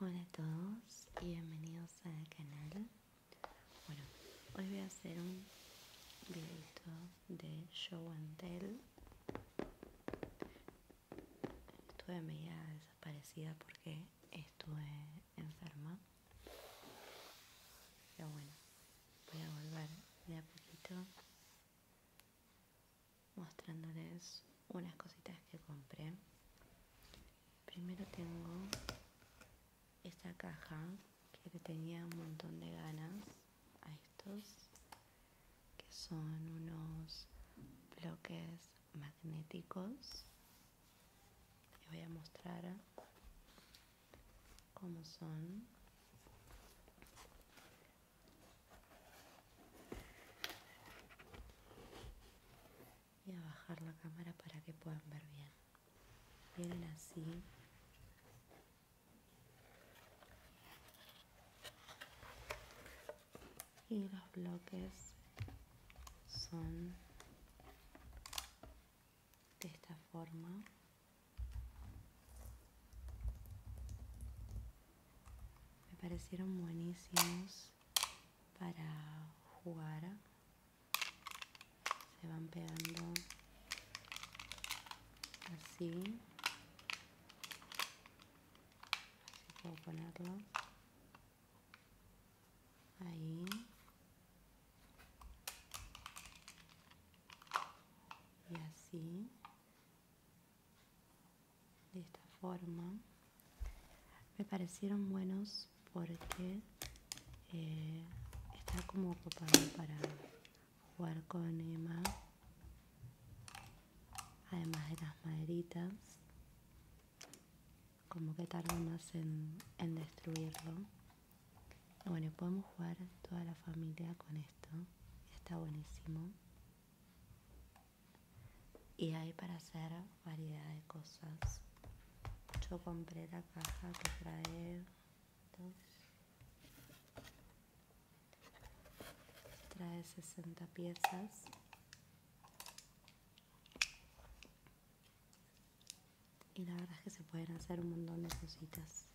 Hola a todos y bienvenidos al canal. Bueno, hoy voy a hacer un videito de show and tell. Estuve media desaparecida porque estuve enferma. Pero bueno, voy a volver de a poquito mostrándoles unas cositas que compré. Primero tengo esta caja que le tenía un montón de ganas a estos, que son unos bloques magnéticos. Les voy a mostrar cómo son y a bajar la cámara para que puedan ver bien. Vienen así. Y los bloques son de esta forma. Me parecieron buenísimos para jugar se van pegando así así puedo ponerlo ahí y así de esta forma me parecieron buenos porque eh, está como ocupado para jugar con Emma además de las maderitas como que tarda más en, en destruirlo bueno podemos jugar toda la familia con esto está buenísimo y hay para hacer variedad de cosas yo compré la caja que trae trae 60 piezas y la verdad es que se pueden hacer un montón de cositas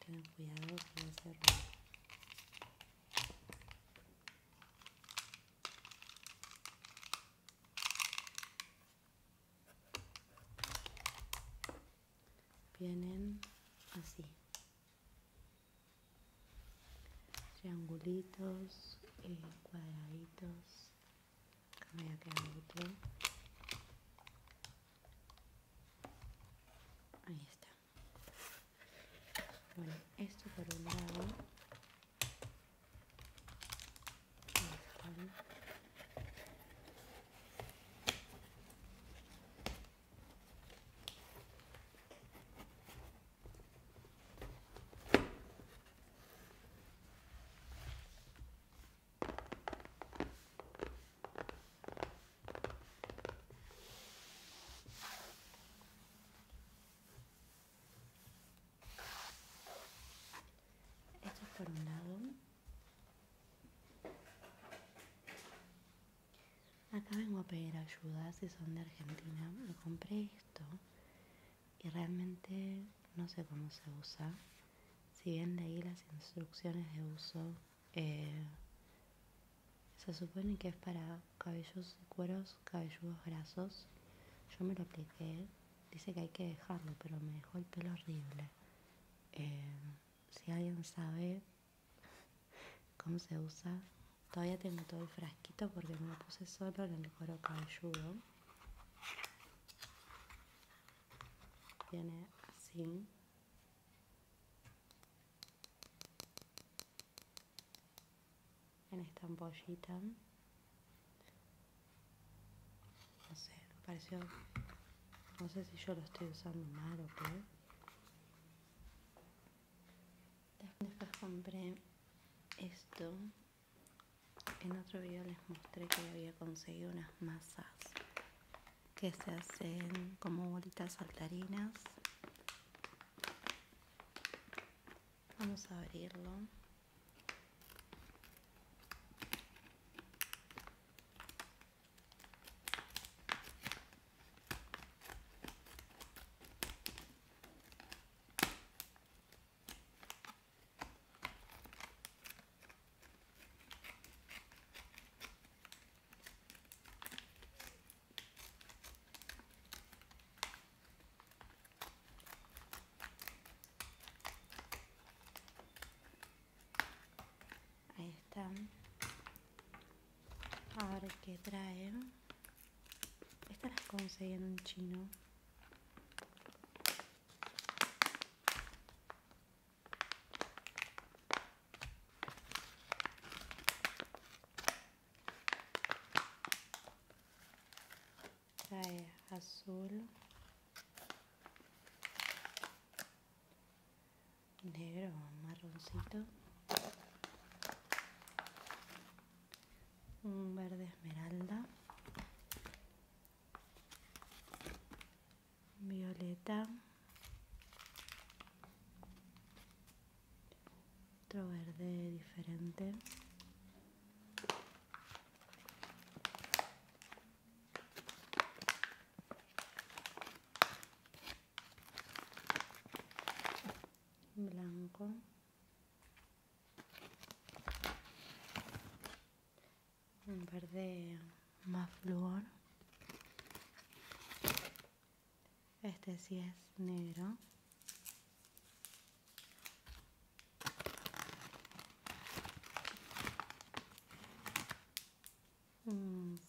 tienen cuidado con no Vienen así. Triangulitos, y eh, cuadraditos, cambia me a Ahí está. Bueno, esto por un lado. Esto por un lado. Acá vengo a pedir ayuda si son de Argentina. Me compré esto y realmente no sé cómo se usa. Si bien leí las instrucciones de uso, eh, se supone que es para cabellos y cueros cabelludos grasos. Yo me lo apliqué. Dice que hay que dejarlo, pero me dejó el pelo horrible. Eh, si alguien sabe cómo se usa, todavía tengo todo el frasquito porque me lo puse solo en el cuero cabelludo. Viene así en esta ampollita. No sé, pareció. No sé si yo lo estoy usando mal o qué. Después compré esto. En otro video les mostré que había conseguido unas masas que se hacen como bolitas saltarinas. Vamos a abrirlo. Ahí están. Ahora que traen. Estas las conseguí en un chino trae azul negro marroncito un verde esmeralda violeta, otro verde diferente. blanco un verde más flor, Este sí es negro.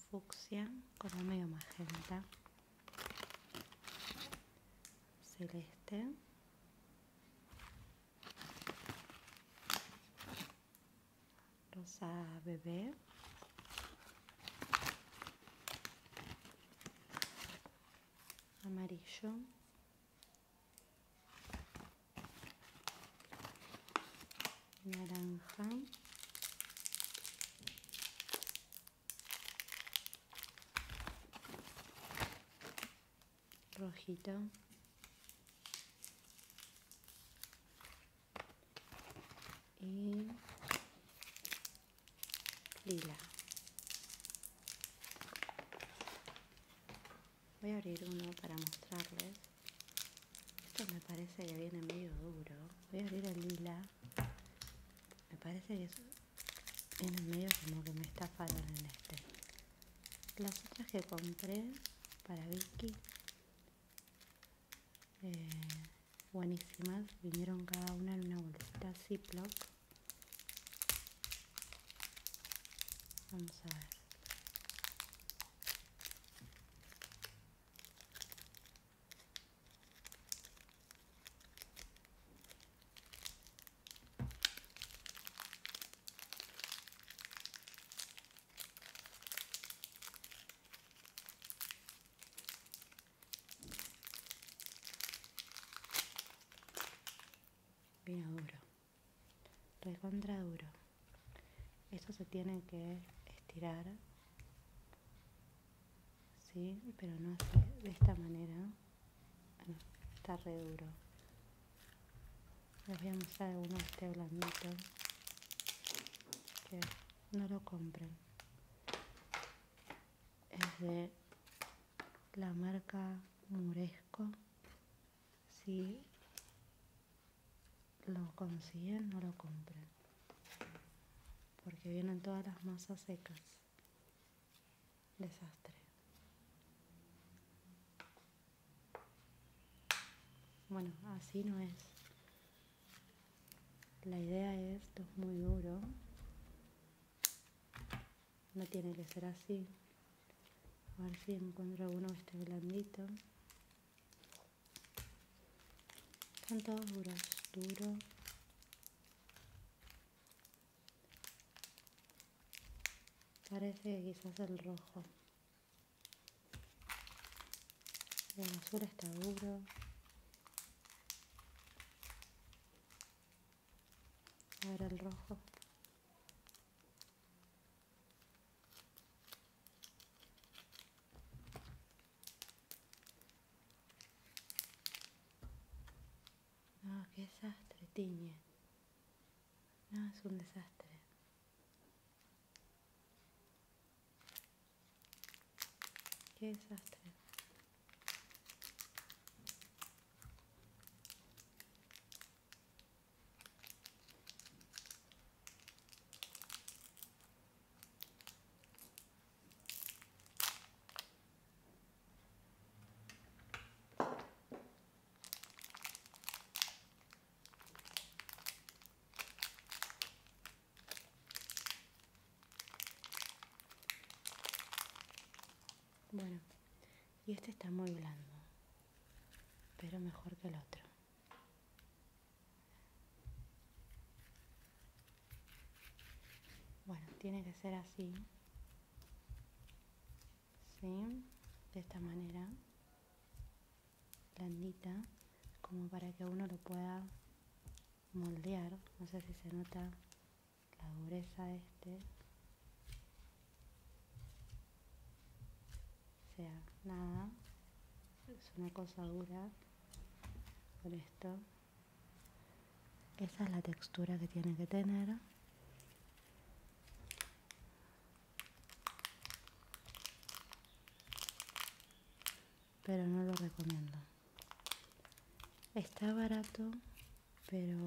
fucsia, un medio magenta. Celeste rosa bebé amarillo naranja rojito y lila voy a abrir uno para mostrarles esto me parece que viene medio duro voy a abrir el lila me parece que es viene medio como que me estafaron en este las otras que compré para Vicky eh, buenísimas vinieron cada una en una bolsita ziploc vamos a Vino duro, contra duro. Eso se tiene que estirar, ¿sí? Pero no de esta manera. Está re duro les voy a mostrar uno de este blandito que no lo compren es de la marca Muresco si lo consiguen no lo compren porque vienen todas las masas secas desastre bueno, así no es. La idea es, esto es muy duro. No tiene que ser así. A ver si encuentro uno que esté blandito. son todos duros, duro. Parece que quizás el rojo. La azul está duro. Ahora el rojo. Ah, qué desastre, tiñe. No, es un desastre. Qué desastre. Bueno, y este está muy blando, pero mejor que el otro. Bueno, tiene que ser así. ¿Sí? De esta manera blandita como para que uno lo pueda moldear no sé si se nota la dureza este o sea nada es una cosa dura por esto esa es la textura que tiene que tener pero no lo recomiendo está barato pero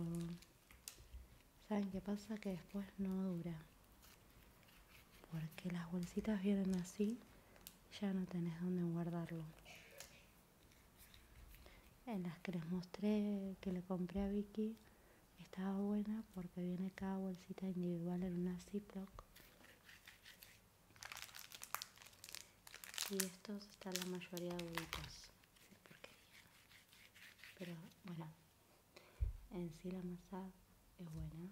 saben qué pasa que después no dura porque las bolsitas vienen así ya no tenés dónde guardarlo en las que les mostré que le compré a Vicky estaba buena porque viene cada bolsita individual en una Ziploc. Y estos están la mayoría adultos. Pero bueno, en sí la masa es buena.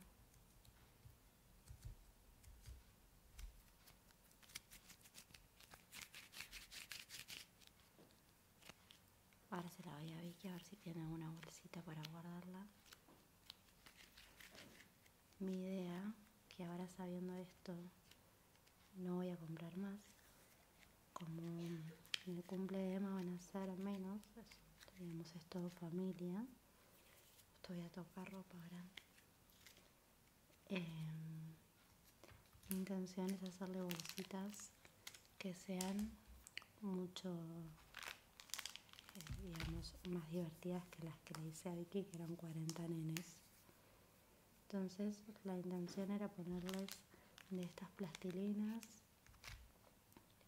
Ahora se la voy a Vicky a ver si tiene alguna bolsita para guardarla mi idea, que ahora sabiendo esto no voy a comprar más, como en el cumple van a ser menos, tenemos esto familia, esto voy a tocar ropa grande. Eh, mi intención es hacerle bolsitas que sean mucho más divertidas que las que le hice a Vicky, que eran 40 nenes. Entonces la intención era ponerles de estas plastilinas,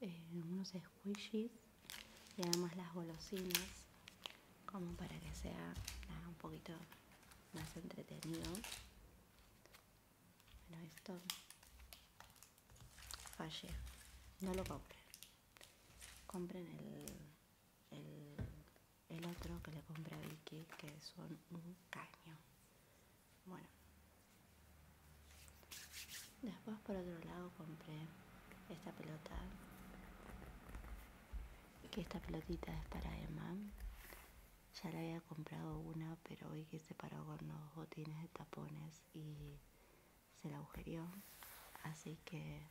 eh, unos squishies y además las golosinas, como para que sea un poquito más entretenido. Bueno, esto Fallé. No lo compré Compren el, otro que le compré a Vicky, que son un caño. Bueno. Después por otro lado compré esta pelota. Que esta pelotita es para Emma. Ya le había comprado una, pero hoy que se paró con los botines de tapones y se la agujerió, así que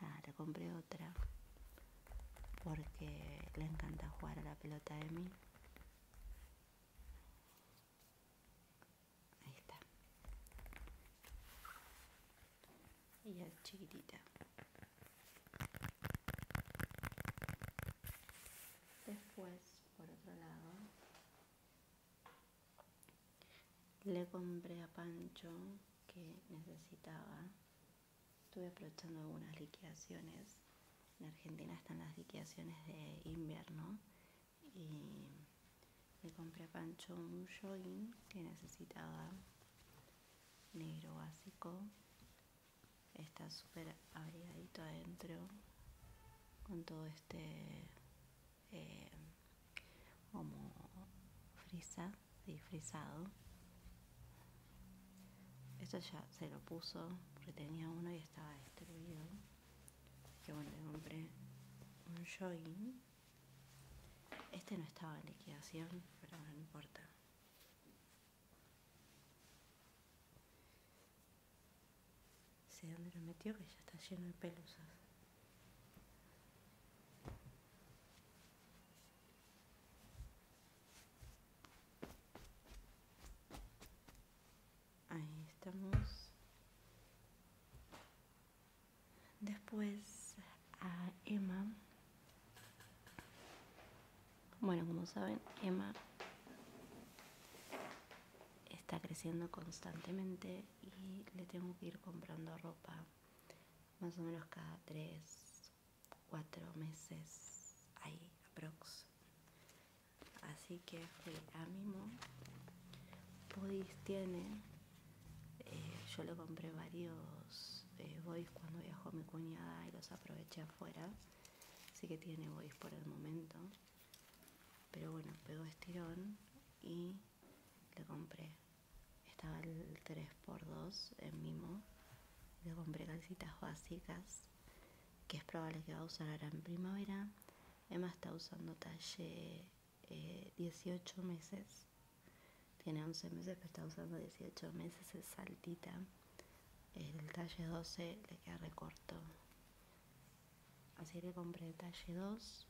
la le compré otra porque le encanta jugar a la pelota de mí. Ahí está. Y es chiquitita. Después, por otro lado, le compré a Pancho que necesitaba. Estuve aprovechando algunas liquidaciones. En Argentina están las liquidaciones de invierno. Y le compré a Pancho un jogging que necesitaba. Negro básico. Está súper abrigadito adentro. Con todo este eh, como frisa, y frisado. Esto ya se lo puso porque tenía uno y estaba destruido. Que bueno, le compré un join. Este no estaba en liquidación, pero no importa sé dónde lo metió, que ya está lleno de pelusas. Ahí estamos. Después a Emma. Bueno, como saben, Emma está creciendo constantemente y le tengo que ir comprando ropa más o menos cada 3, 4 meses ahí aprox. Así que fui a Bodys tiene, eh, yo lo compré varios eh, cuando viajó mi cuñada y los aproveché afuera. Así que tiene bodys por el momento. Pero bueno, pegó estirón y le compré. Estaba el 3x2 en Mimo. Le compré calcitas básicas, que es probable que va a usar ahora en primavera. Emma está usando talle 18 eh, meses. Tiene 11 meses, pero está usando 18 meses. Es saltita. El talle 12 le queda recorto así que compré talle 2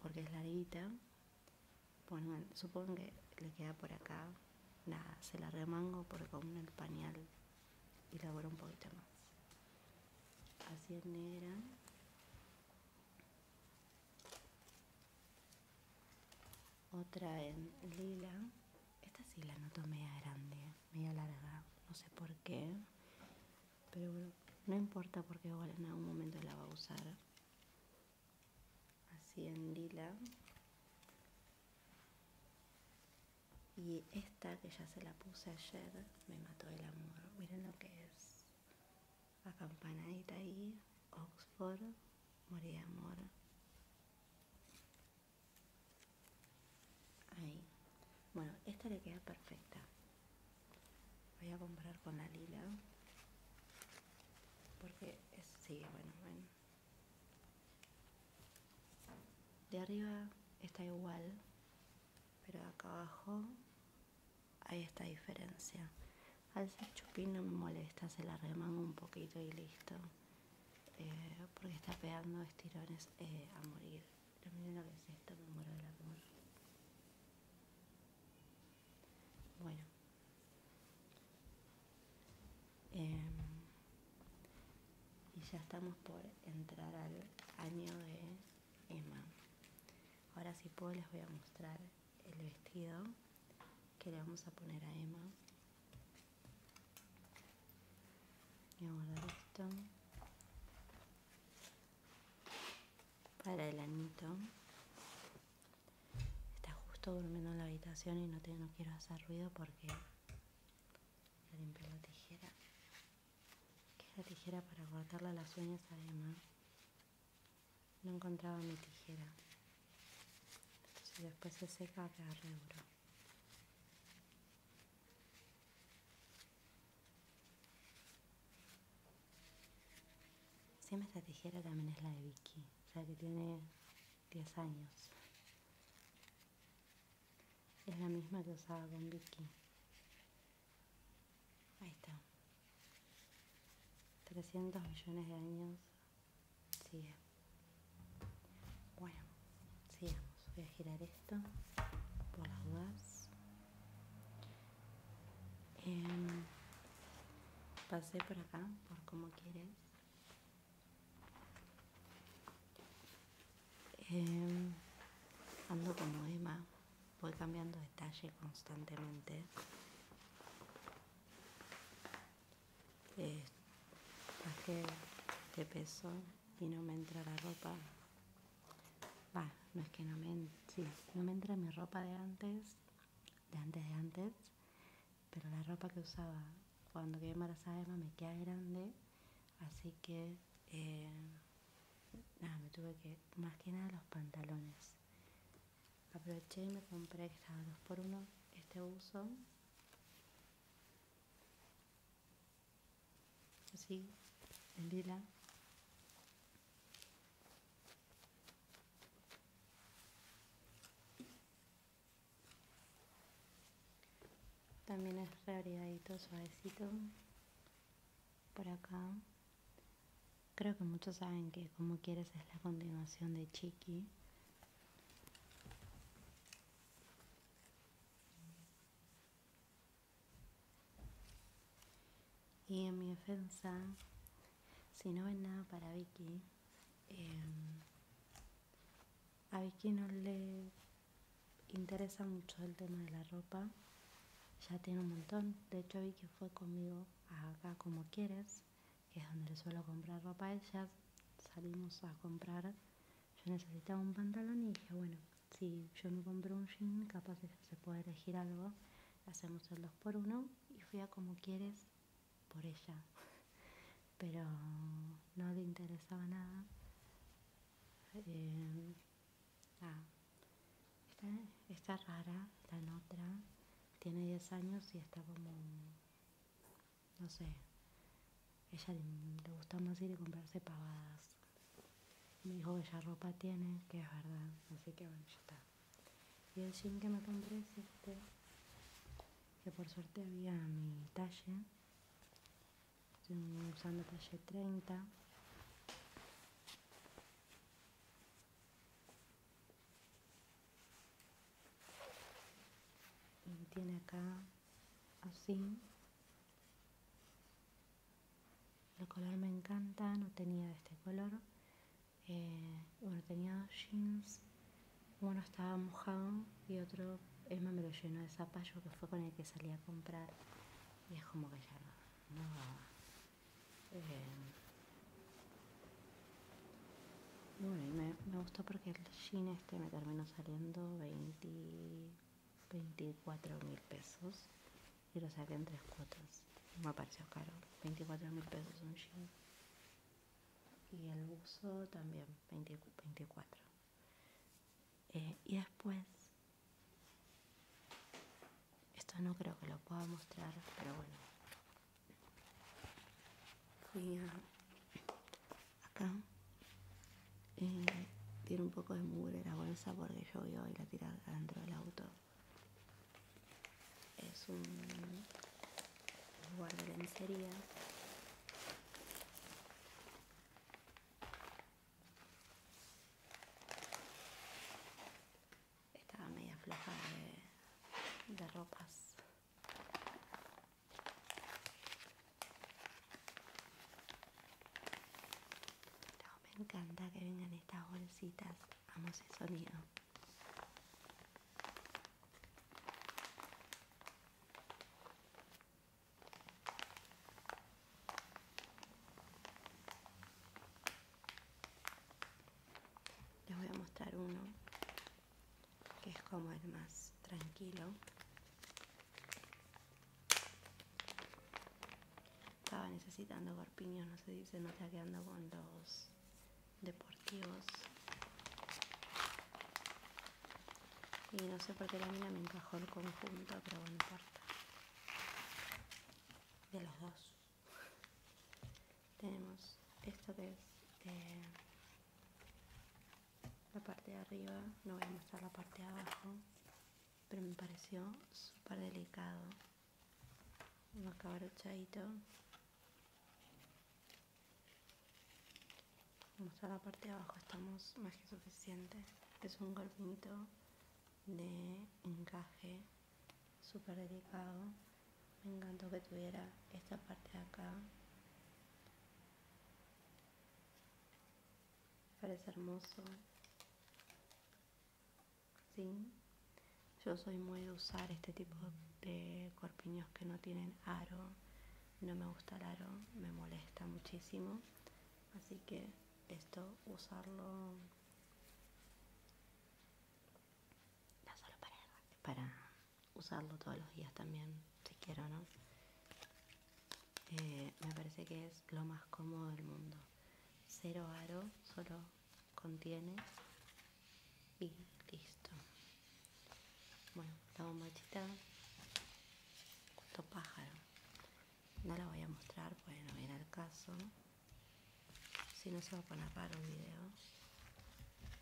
porque es larguita bueno supongo que le queda por acá nada se la remango porque con el pañal y elaboro un poquito más así en negra otra en lila esta sí la noto media grande media larga, no sé por qué, pero bueno, no importa porque igual en algún momento la va a usar. Así en lila. Y esta que ya se la puse ayer, me mató el amor. Miren lo que es. Acampanadita ahí, Oxford, morir de amor. Ahí. Bueno, esta le queda perfecta. Voy a comprar con la lila. Porque sí, bueno, bueno. De arriba está igual, pero acá abajo hay esta diferencia. Al ser chupín no me molesta, se la remango un poquito y listo. Eh, porque está pegando estirones eh, a morir. La que esta, me muero del amor. Bueno. Em, y ya estamos por entrar al año de Emma. Ahora si puedo les voy a mostrar el vestido que le vamos a poner a Emma. Voy a guardar esto para el anito. Está justo durmiendo en la habitación y no, quiero hacer ruido porque la tijera. Que es la tijera para cortarle las uñas además. No encontraba mi tijera. Si después se seca, queda Siempre esta tijera también es la de Vicky, o sea que tiene 10 años. Es la misma que usaba con Vicky. Ahí está. 300 millones de años sigue. Bueno sigamos voy a girar esto por las dudas em, pasé por acá por como quieres em, ando como Emma voy cambiando detalle constantemente eh, de peso y no me entra la ropa. no es que no me, no me entra mi ropa de antes, de antes de antes, pero la ropa que usaba cuando quedé embarazada me queda grande, así que eh, nada, me tuve que, más que nada los pantalones. Aproveché y me compré estaba dos por uno, este uso. Así, el lila. También es reabrigadito, suavecito. Por acá. Creo que muchos saben que como quieres es la continuación de Chiqui. Y en mi defensa, si no ven nada para Vicky, em, a Vicky no le interesa mucho el tema de la ropa. Ya tiene un montón. De hecho, Vicky fue conmigo acá como quieres, que es donde le suelo comprar ropa a ella. Salimos a comprar. Yo necesitaba un pantalón y dije, bueno, si yo me compro un jean, capaz se puede elegir algo, hacemos el 2 por uno y fui a como quieres por ella. Pero no le interesaba nada. Eh, está, ah, está, rara, la otra. Tiene 10 años y está como, no sé, ella le gusta más ir y comprarse pavadas. Me dijo que ya ropa tiene, que es verdad, así que bueno, ya está. Y el jean que me compré es este, que por suerte había mi talle. Estoy usando talle 30. Y tiene acá así el color me encanta, no tenía de este color. Eh, bueno, tenía dos jeans. Uno estaba mojado y otro Emma me lo llenó de zapallo que fue con el que salí a comprar. Y es como que ya no. Eh, bueno, y me, me gustó porque el jean este me terminó saliendo 20. 24 mil pesos y lo saqué en tres cuotas. No me pareció caro. 24 mil pesos un jean. Y el buzo también, 24. Eh, y después, esto no creo que lo pueda mostrar, pero bueno acá. Eh, tiene un poco de mugre la bolsa porque yo vi hoy la tirada dentro del auto. Es un lugar de lencería. Estaba media floja de ropas me encanta que vengan estas bolsitas. Amo ese sonido. Les voy a mostrar uno que es como el más tranquilo estaba necesitando garpiños, no se dice, no está quedando con los deportivos. Y no sé por qué la mina me encajó el conjunto, pero bueno, importa. De los dos. Tenemos esto que es eh, la parte de arriba, no voy a mostrar la parte de abajo, pero me pareció súper delicado, un Vamos a la parte de abajo estamos más que suficientes. es un golpito de encaje súper delicado me encantó que tuviera esta parte de acá Parece hermoso. Yo soy muy de usar este tipo de corpiños que no tienen aro. No me gusta el aro, me molesta muchísimo. Así que esto, usarlo... No solo para, para usarlo todos los días también, si quiero, ¿no? Eh, me parece que es lo más cómodo del mundo cero aro solo contiene y listo bueno la bombachita justo pájaro no la voy a mostrar bueno en el caso si no se va a poner para el video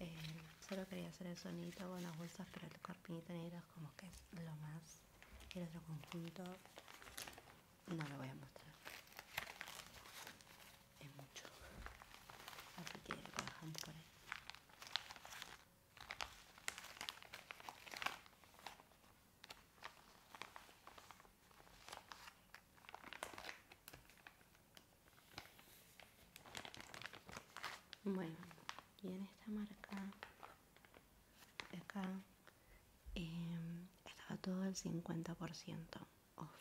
eh, solo quería hacer el sonito con las bolsas pero el corpiñito negro es como que es lo más el otro conjunto no lo voy a mostrar es mucho así que lo por ahí bueno y en esta marca acá em, estaba todo el 50% off.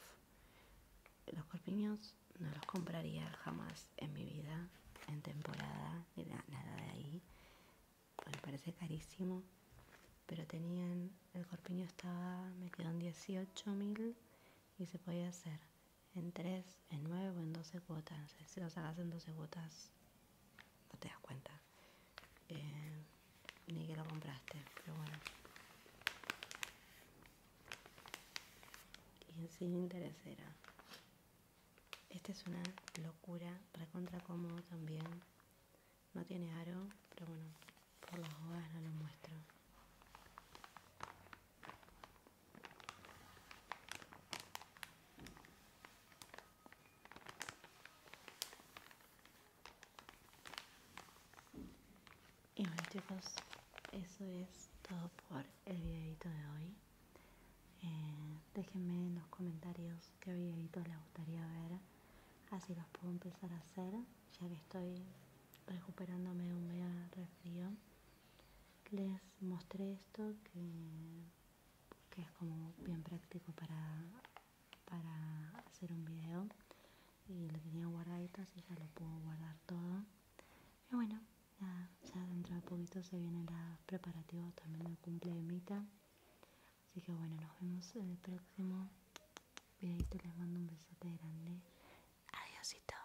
Los corpiños no los compraría jamás en mi vida, en temporada, nada de ahí, me parece carísimo. Pero tenían, el corpiño estaba, me quedó en 18.000 mil y se podía hacer en 3, en 9 o en 12 cuotas. Si los hagas en 12 cuotas, no te das cuenta eh, ni que lo compraste pero bueno y sin interesera esta es una locura recontra cómodo también no tiene aro pero bueno por las hojas no lo muestro y bueno chicos, eso es todo por el videito de hoy. Eh, déjenme en los comentarios qué videitos les gustaría ver, así los puedo empezar a hacer, ya que estoy recuperándome de un de frío Les mostré esto que que es como bien práctico para, para hacer un video y lo tenía guardadito así ya lo puedo guardar todo y bueno ya, dentro de poquito se vienen los preparativos también del cumple de así que bueno nos vemos en el próximo videito les mando un besote grande adiós y todo